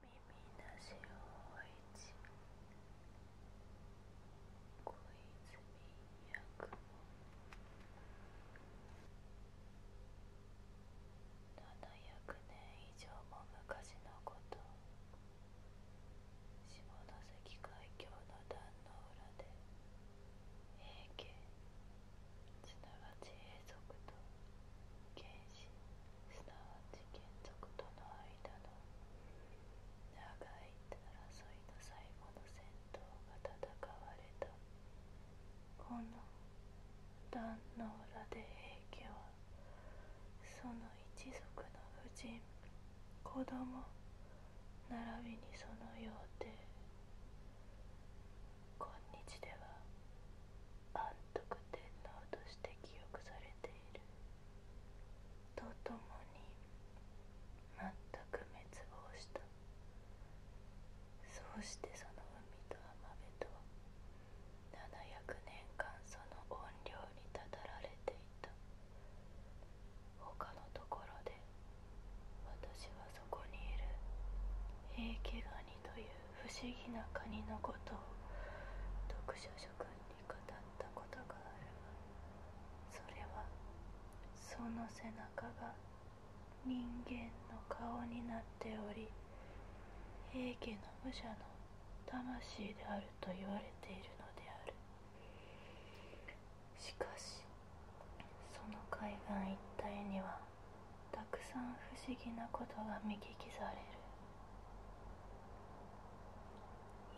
耳し小泉役700年以上も昔のこと下関海峡の壇の浦で平家すなわち続とすなわち原則との間の長い争いの最後の戦闘が戦われたこの壇の裏で平家はその一族の婦人子供並びにそのよ幼弟今日では安徳天皇として記憶されているとともに全く滅亡したそうしてその海と浜辺とは700年間その怨霊にたたられていた他のところで私はそこにいる平家ガニという不思議なカニのことを読書諸君に語ったことがあるがそれはその背中が人間の顔になっており平家の武者の魂であると言われているのであるしかしその海岸一帯にはたくさん不思議なことが見聞きされる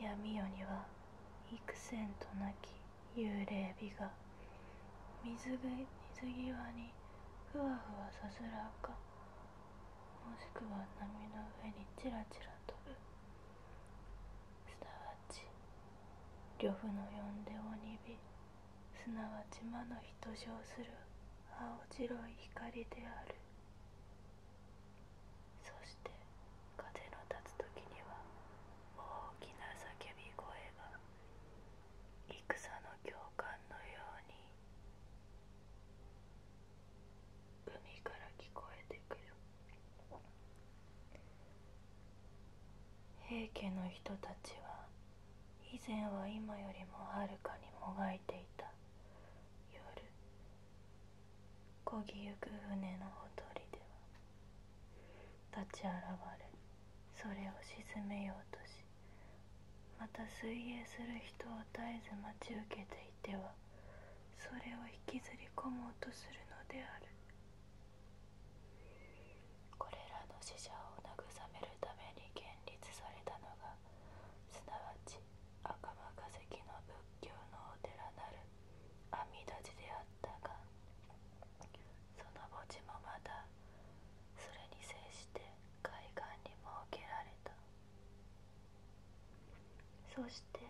闇夜には幾千となき幽霊美が水際にふわふわさすらかもしくは波の上にちらちら飛ぶすなわち呂布の呼んで鬼火すなわち魔の人称する青白い光であるそして風の立つ時には大きな叫び声が戦の教官のように海から聞こえてくる平家の人たちは以前は今よりもはるかにもがいていた夜こぎゆく船のほとりでは立ち現れそれを沈めようとしまた水泳する人を絶えず待ち受けていてはそれを引きずり込もうとするのであるこれらの死者を慰めるために建立されたのがすなわち赤間化石の仏教のお寺なる阿弥陀寺であったがその墓地もまたそれに接して海岸に設けられたそして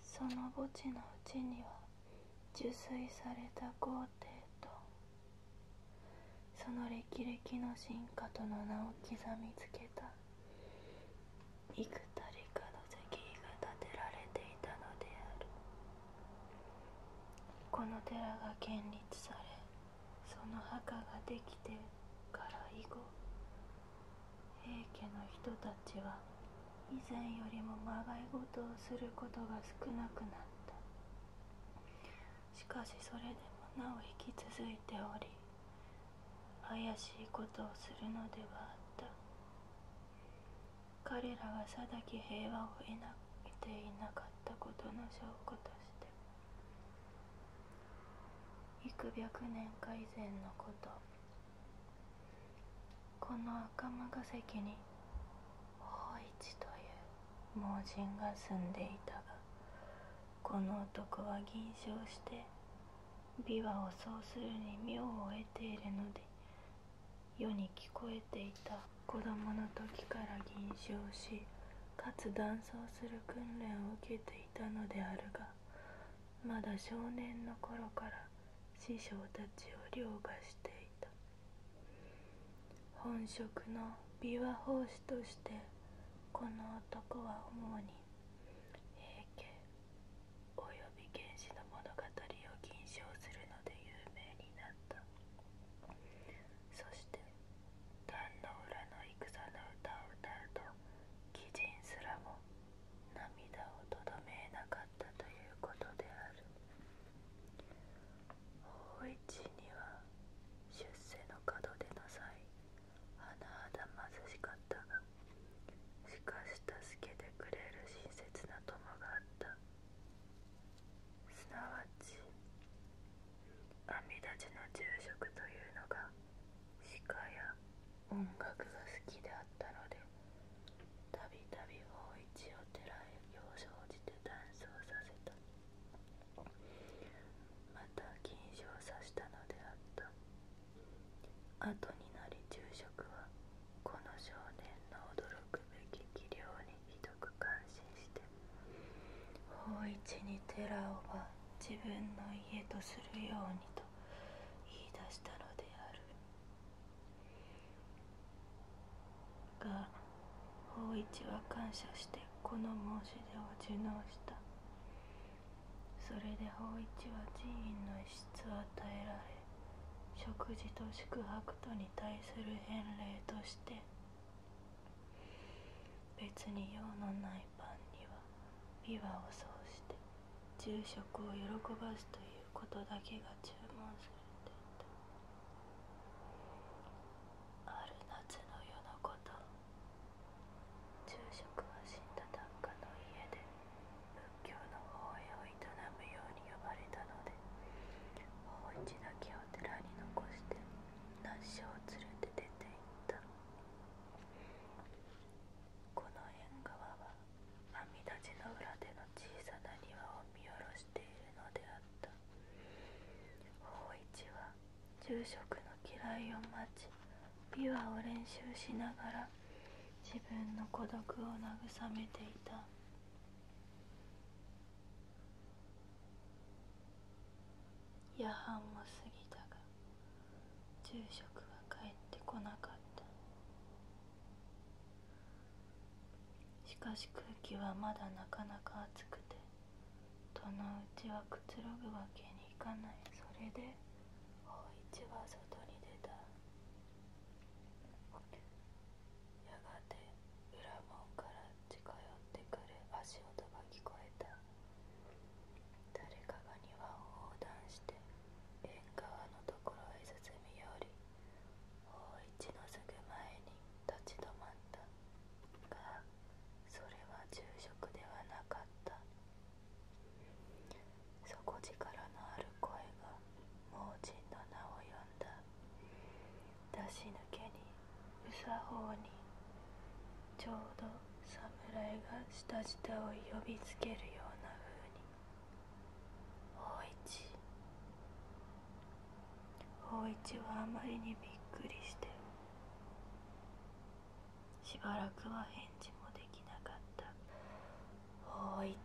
その墓地のうちには受水された皇帝とその歴々の進化との名を刻みつけた幾たりかの石碑が建てられていたのであるこの寺が建立されその墓ができてから以後平家の人たちは以前よりもまがいごとをすることが少なくなったしかしそれでもなお引き続いており怪しいことをするのではあった彼らが定き平和を得な得ていなかったことの証拠として幾百年か以前のことこの赤間が関に法一という盲人が住んでいたがこの男は吟唱して琵琶をそうするに妙を得ているので世に聞こえていた子供の時から吟唱しかつ断層する訓練を受けていたのであるがまだ少年の頃から師匠たちを凌駕していた本職の琵琶法師としてこの男は主に平家及び原氏の物語を吟唱するので有名になったそして壇の裏の戦の歌を歌うと鬼人すらも涙をとどめなかったということである方一には出世の門出の際甚だ貧しかったがしかし助けてくれる親切な友があったすなわち阿弥陀寺の住職というのが鹿や音楽が好きであったのでたびたび芳一を寺へよう。生じて断層させたまた禁賞を指したのであった後になり住職はこの少年の驚くべき器量にひどく感心して法一に寺をは自分の家とするようにと言い出したのであるが法一は感謝してこの申し出を受納したそれで法一は寺院の一室を与えられ食事と宿泊とに対する返礼として別に用のないパンには琵琶をそうして住職を喜ばすということだけが注文されていたある夏の夜のこと昼食は死んだ檀家の家で仏教の法会を営むように呼ばれたので法一だ木を寺に残して那須を連れて出て行ったこの縁側は阿弥陀寺の裏での小さな庭を見下ろしているのであった芳一は住職の嫌いを待ち琵琶を練習しながら自分の孤独を慰めていた夜半も過ぎたが住職は帰ってこなかったしかし空気はまだなかなか暑くてとのうちはくつろぐわけにいかないそれで芳一は外に出たやがて裏門から近寄ってくる足音が聞こえた誰かが庭を横断して縁側のところへ進み寄り芳一のすぐ前に立ち止まったがそれは住職ではなかった底力のある声が盲人の名を呼んだ出し抜けにうさほにちょうど侍が下下を呼びつけるようなふうに「大一」芳一はあまりにびっくりしてしばらくは返事もできなかった芳一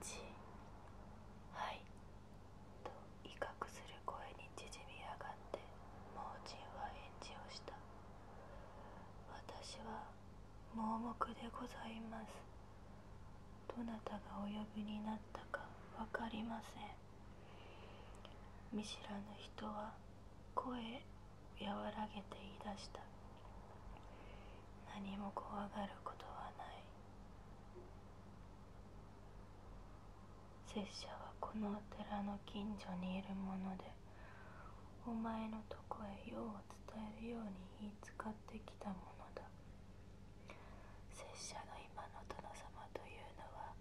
はいと威嚇する声に縮み上がって盲人は返事をした私は盲目でございますどなたがお呼びになったか分かりません見知らぬ人は声和らげて言い出した何も怖がることはない拙者はこのお寺の近所にいるものでお前のとこへ用を伝えるように言いつってきたものだ拙者の今の殿様というのは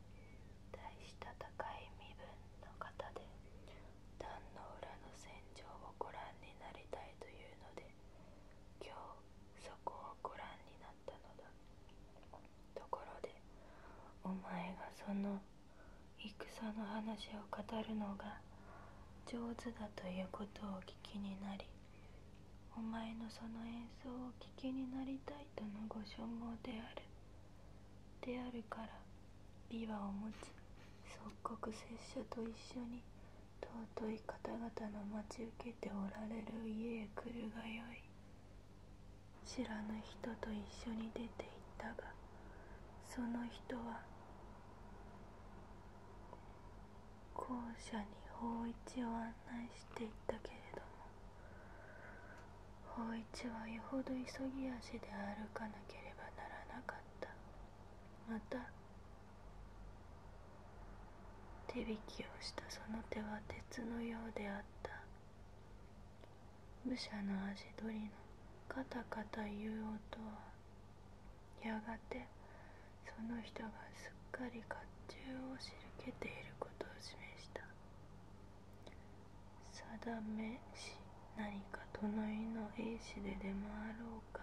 大した高い身分の方で壇の裏の戦場をご覧になりたいというので今日そこをご覧になったのだところでお前がその戦の話を語るのが上手だということをお聞きになりお前のその演奏を聴きになりたいとのご所望であるであるから琵琶を持つ即刻拙者と一緒に尊い方々の待ち受けておられる家へ来るがよい知らぬ人と一緒に出て行ったがその人は校舎に芳一を案内していったけれども芳一はよほど急ぎ足で歩かなければならなかったまた手引きをしたその手は鉄のようであった武者の足取りのカタカタ言う音はやがてその人がすっかり甲冑をしるけていることを示した定めし何か隣の兵士で出回ろうか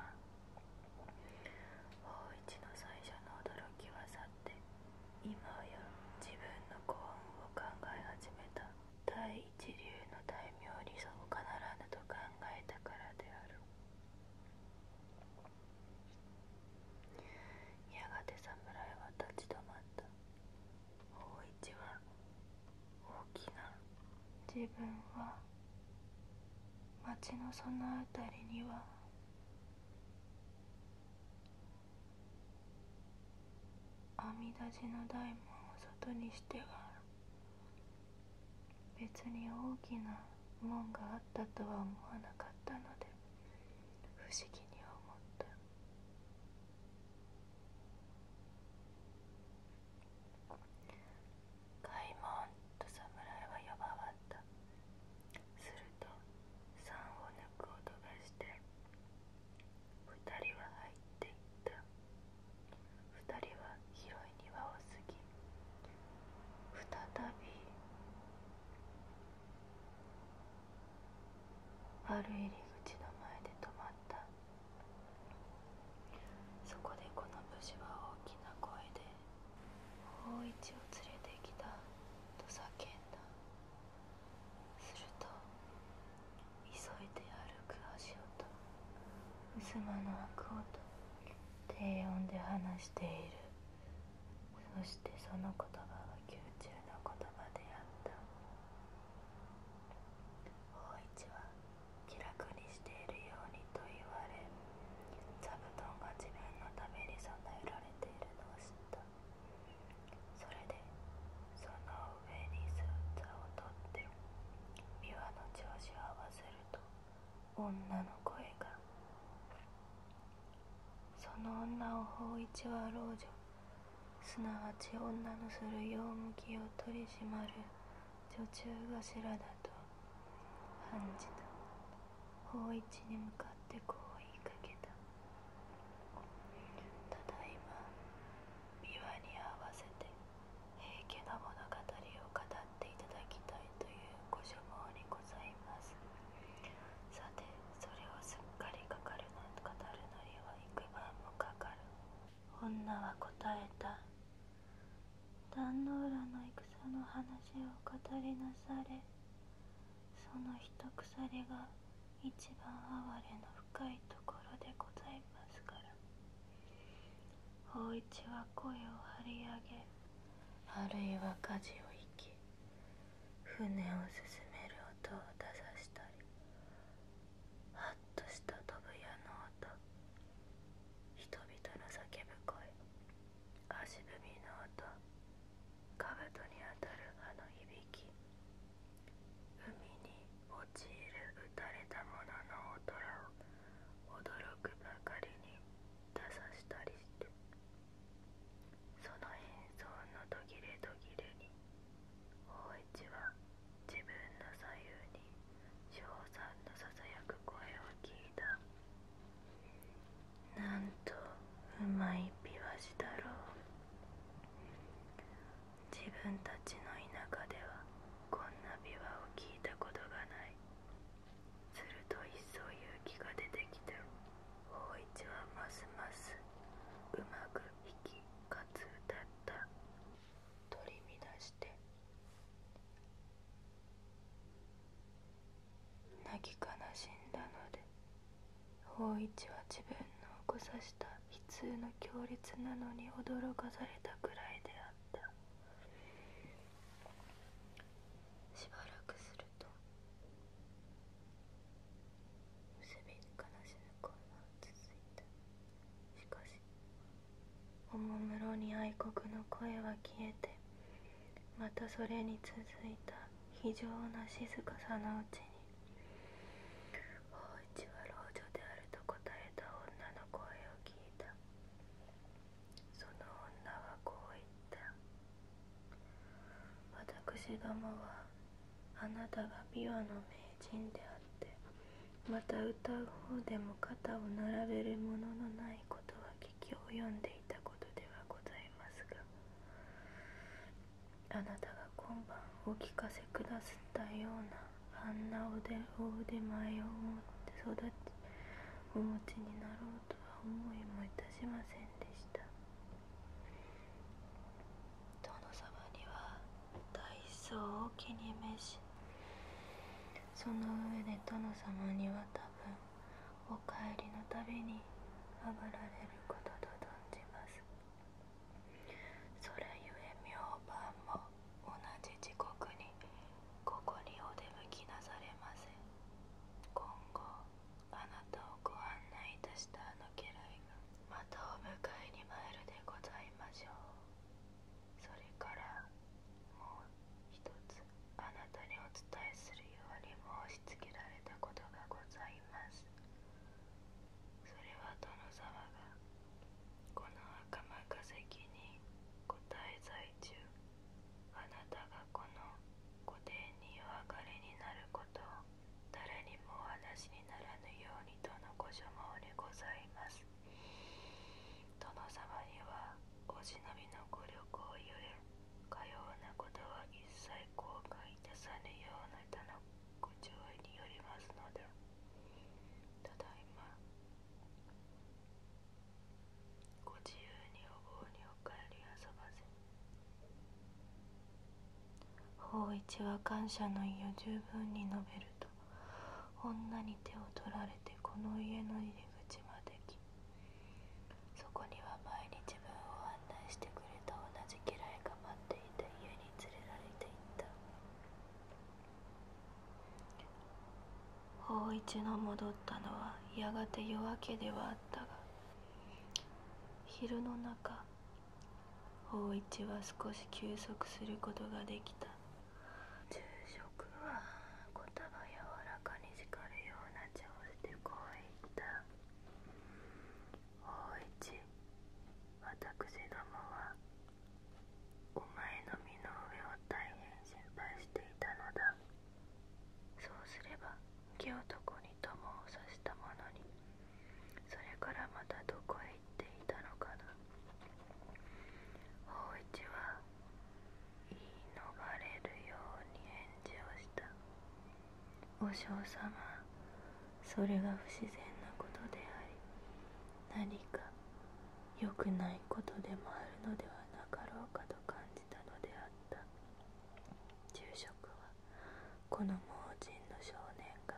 芳一の最初の驚きは去って今や自分の幸運を考え始めた第一流の大名理想を必ずと考えたからであるやがて侍は立ち止まった大一は大きな自分は町のそのあたりには阿弥陀寺の大門を外にしては、別に大きな門があったとは思わなかったのです。不思議に思った開門と侍は呼わったすると酸を抜く音がして二人は入っていった二人は広い庭を過ぎ再びある入り口の前で止まったそこでこの武士は大きな声で「芳一を連れてきた」と叫んだすると急いで歩く足音襖の開く音低音で話しているそしてその言葉は宮中の言葉であった法一は気楽にしているようにと言われ座布団が自分のために備えられているのを知ったそれでその上に座を取って琵琶の調子を合わせると女の声がその女を芳一は老女すなわち女のする陽向きを取り締まる女中頭だと判じた芳一に向かってこう言いかけたただいま琵琶に合わせて平家の物語を語っていただきたいというご所望にございますさてそれをすっかりかかるの語るのりは幾晩もかかる女は答えた壇の浦の戦の話を語りなされその一鎖が一番哀れの深いところでございますから芳一は声を張り上げあるいは事を生き船を進める音を出さしたりハッとした飛ぶ矢の音人々の叫ぶ声足踏みの音兜に当たるあの響き海に陥る打たれたものの大を驚くばかりに出さしたりしてその演奏の途切れ途切れに大一は自分の左右に翔さんのささやく声を聞いたなんとうまいピワシだろう自分たちの田舎ではこんな琵琶を聞いたことがないすると一層勇気が出てきた芳一はますますうまく弾きかつ歌った取り乱して泣き悲しんだので芳一は自分の起こさした悲痛の強烈なのに驚かされたくらいであったしばらくするとすびに悲しむこ声が続いたしかしおもむろに愛国の声は消えてまたそれに続いた非常な静かさのうちに「芳一は老女である」と答えた女の声を聞いたその女はこう言った私どもはあなたが琵琶の名人であってまた歌う方でも肩を並べるもののないことは聞き及んでいたことではございますがあなたが今晩お聞かせくださったようなあんなおでお腕前をお持ちになろう思いもいたしませんでした殿様には大層を気に召しその上で殿様には多分お帰りのたびにあがられることと存じますそれゆえ明晩も同じ時刻にここにお出向きなされません今後あなたをご案内いたしたあの家来がまたお迎えに参るでございましょうそれからもう一つあなたにお伝えするように申しつけられたことがございますそれは殿様がこの赤間化石にご滞在中あなたがこの御殿にお別れになることを誰にもお話しにならぬようにとのご所望にございます殿様にはお忍びのご旅行ゆえかようなことは一切後悔いたさぬような他のご注意によりますのでただいまご自由にお盆にお帰り遊ばせ法一は感謝の意を十分に述べると女に手を取られてこの家の入り口まで来そこには毎日自分を案内してくれた同じ家来が待っていた家に連れられていった法一の戻ったのはやがて夜明けではあったが昼の中法一は少し休息することができた昼食は言葉柔らかに叱るような調子でこう言った法一私どもはお前の身の上を大変心配していたのだそうすれば雪男に友を刺したものにそれからまたどこへ行っていたのかな芳一は言い逃れるように返事をしたお嬢様それが不自然なことであり何か良くないことでもあるのではなかろうかと。感じたのであった住職はこの盲人の少年が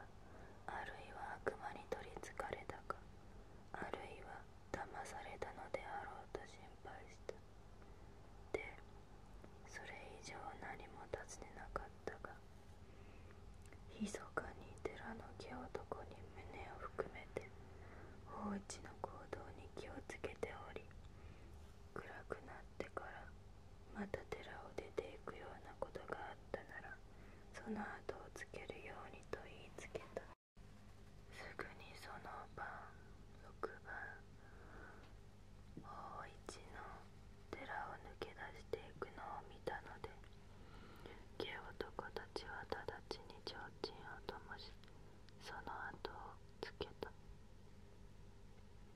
あるいは悪魔に取りつかれたかあるいは騙されたのであろうと心配したでそれ以上何も尋ねなかったがひそかに寺の木男に胸を含めてて一の行動に気をつけており暗くなってからまた寺を出ていくようなことがあったならその後をつけるようにと言いつけたすぐにその晩6晩大一の寺を抜け出していくのを見たので下男たちは直ちに提灯を灯しその後をつけた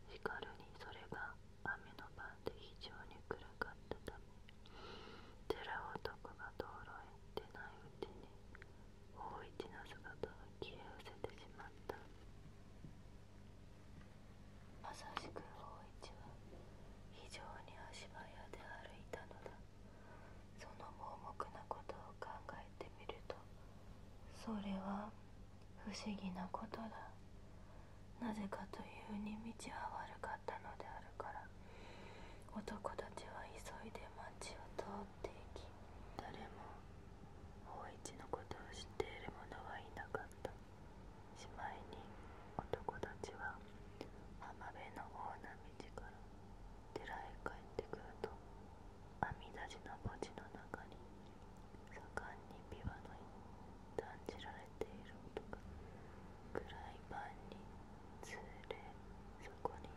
しかるにそれが雨の晩で非常に暗かったため寺男が道路へ出ないうちに大一の姿が消え失せてしまったまさしく大一は非常に足早で歩いたのだその盲目なことを考えてみるとそれは不思議なことだなぜかというに道は悪かったのであるから男たちは急いで町を通っていき誰も芳一のことを知っている者はいなかったしまいに男たちは浜辺の方な寺へ帰ってくると網立ちの墓地の中に盛んに琵琶の断じられている音が暗い晩につれそこに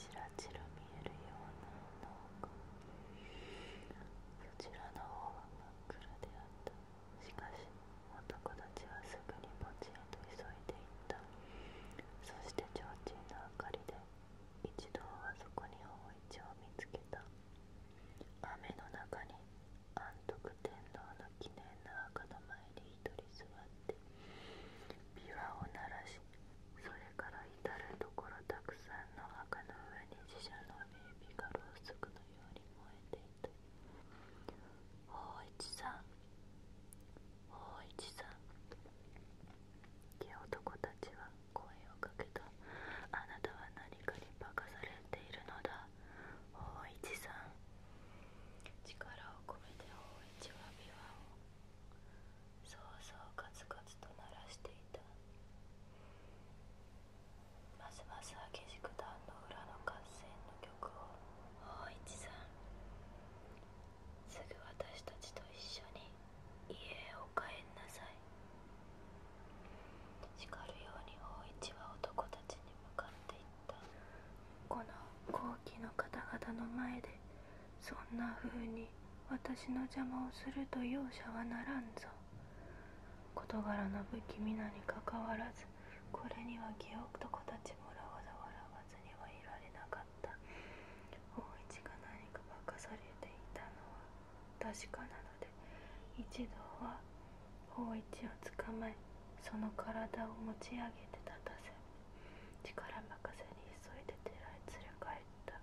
ちらちら見えるような農家そちらの方は真っ暗であったしかし男たちはすぐに墓地へと急いでいったそして提灯の明かりで一同はそこに大一を見つけた雨の中に安徳天皇の記念の墓の前に一人座って琵琶を鳴らしそれから至る所たくさんの墓の上に死社の名碑がろうそくのように燃えていた「芳一さん大一さんっ男たちは声をかけたあなたは何かに化かされているのだ大一さん力を込めて大一は琵琶をそうそうカツカツと鳴らしていたますます激しく壇の裏の合戦の曲を大一さんすぐ私たちと一緒に家へお帰んなさい」叱るように大一は男たちに向かっていったこの高貴の方々の前でそんな風に私の邪魔をすると容赦はならんぞ事柄の不気味なにかかわらずこれには記憶と子たちもらわざわざ。末た大一が何か化かされていたのは確かなので一度は大一をつかまえその体を持ち上げて立たせ力任せに急いで寺へ連れ帰った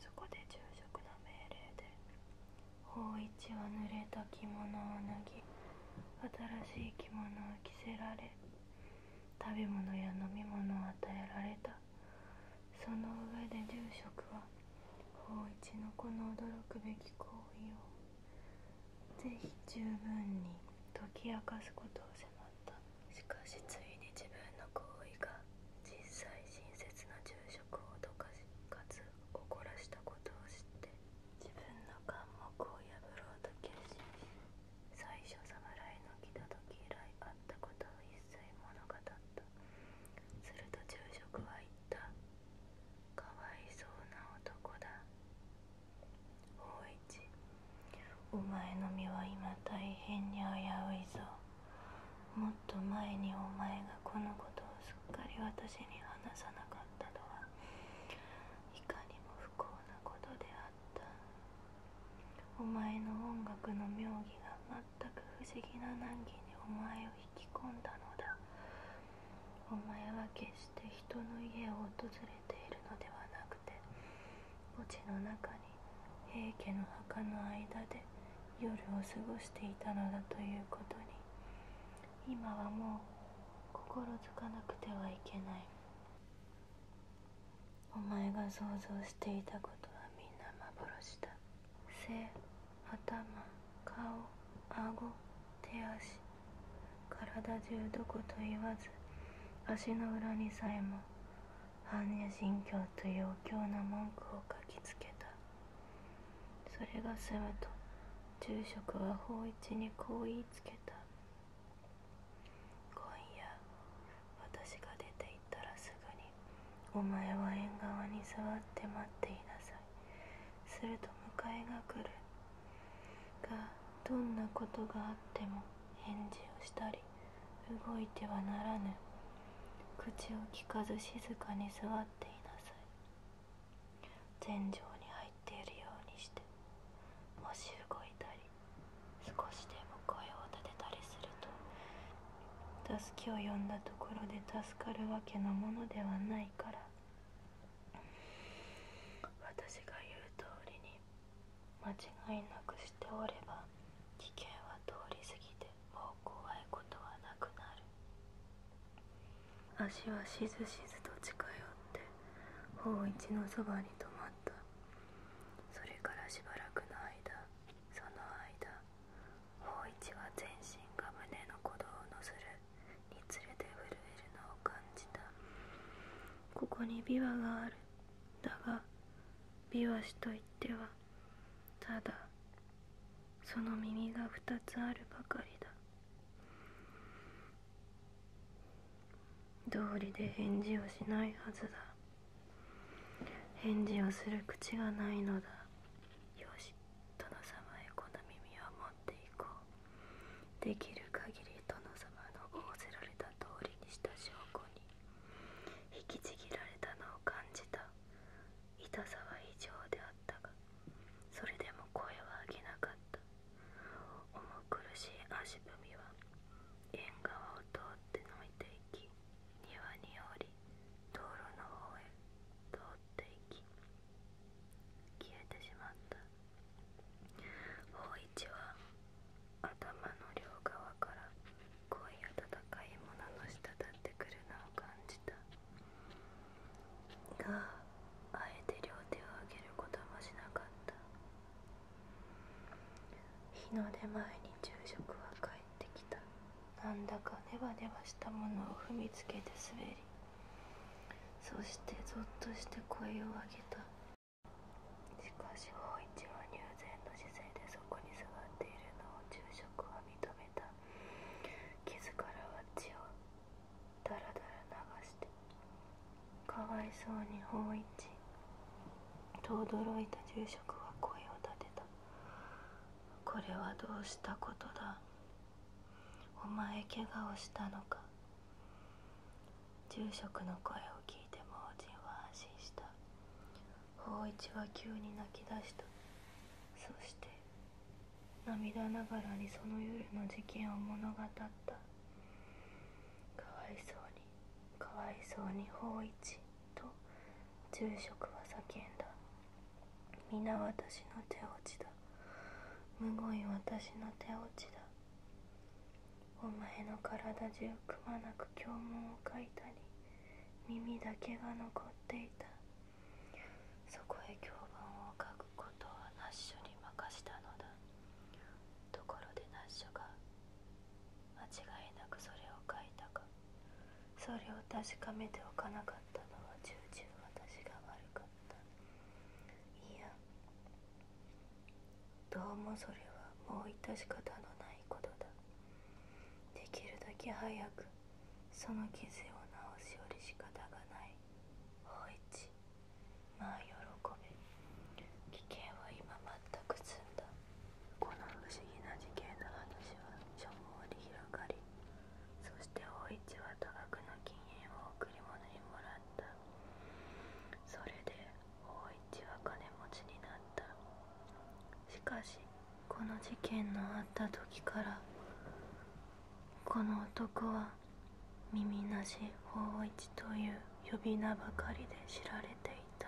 そこで住職の命令で芳一は濡れた着物を脱ぎ新しい着物を着せられ食べ物や飲み物を与えられたその上で住職は芳一のこの驚くべき行為を是非十分に解き明かすことを迫るしかしついに自分の行為が実際親切な住職を脅かしかつ怒らしたことを知って自分の眼目を破ろうと決心し最初侍の来た時以来あったことを一切物語ったすると昼食は言った「かわいそうな男だ」大一お前の身は今大変に危ういぞもっと前にお前がこのことをすっかり私に話さなかったのはいかにも不幸なことであったお前の音楽の妙義が全く不思議な難儀にお前を引き込んだのだお前は決して人の家を訪れているのではなく墓地の中に平家の墓の間で夜を過ごしていたのだということに今はもう心づかなくてはいけないお前が想像していたことはみんな幻だ背頭顔顎手足体中どこと言わず足の裏にさえも般若心経というお経の文句を書きつけたそれが済むと住職は法一にこう言いつけた今夜私が出て行ったらすぐにお前は縁側に座って待っていなさいすると迎えが来るがどんなことがあっても返事をしたり動いてはならぬ口をきかず静かに座っていなさい天井に入っているようにしてもし動いたり少しでも声を立てたりすると助けを呼んだところで助かるわけのものではないから私が言う通りに間違いなくしておれば危険は通り過ぎてもう怖いことはなくなる足はしずしずと近寄って芳一のそばに止まったそれからしばらくの間その間芳一は全身が胸の鼓動を乗せるにつれて震えるのを感じたここに琵琶があるだが美和氏といってはただその耳が二つあるばかりだ道理で返事をしないはずだ返事をする口がないのだよし殿様へこの耳を持っていこうできる限り殿様の仰せられた通りにした証拠に引きちぎられたのを感じた痛さは異常であったがそれでも声は上げなかった重苦しい足踏みは縁側を通ってのいていき庭に降り道路の方へ通っていき消えてしまった芳一は頭の両側から濃い温かいものの滴ってくるのを感じたがあえて両手を上げることもしなかった日の出前に昼食は帰ってきたなんだかネバネバしたものを踏みつけて滑りそしてぞっとして声を上げたしかし芳一は入禅の姿勢でそこに座っているのを昼食は認めた傷からは血をだらだら流してかわいそうに芳一と驚いた住職は声を立てたこれはどうしたことだお前怪我をしたのか住職の声を聞いて盲人は安心した法一は急に泣き出したそして涙ながらにその夜の事件を物語ったかわいそうにかわいそうに法一と住職は叫んだ皆私の手落ちだむごい私の手落ちだお前の体中くまなく胸文を書いたり耳だけが残っていたそこへ評判を書くことはナッシュに任したのだところでナッシュが間違いなくそれを書いたかそれを確かめておかなかったのは重々私が悪かったいやどうもそれはもう致し方のないことだできるだけ早くその傷を治しより仕方がない芳一まあ喜べ危険は今全く済んだこの不思議な事件の話は所望り広がりそして芳市は多額の禁煙を贈り物にもらったそれでしかしこの事件のあった時からこの男は耳なし大一という呼び名ばかりで知られていた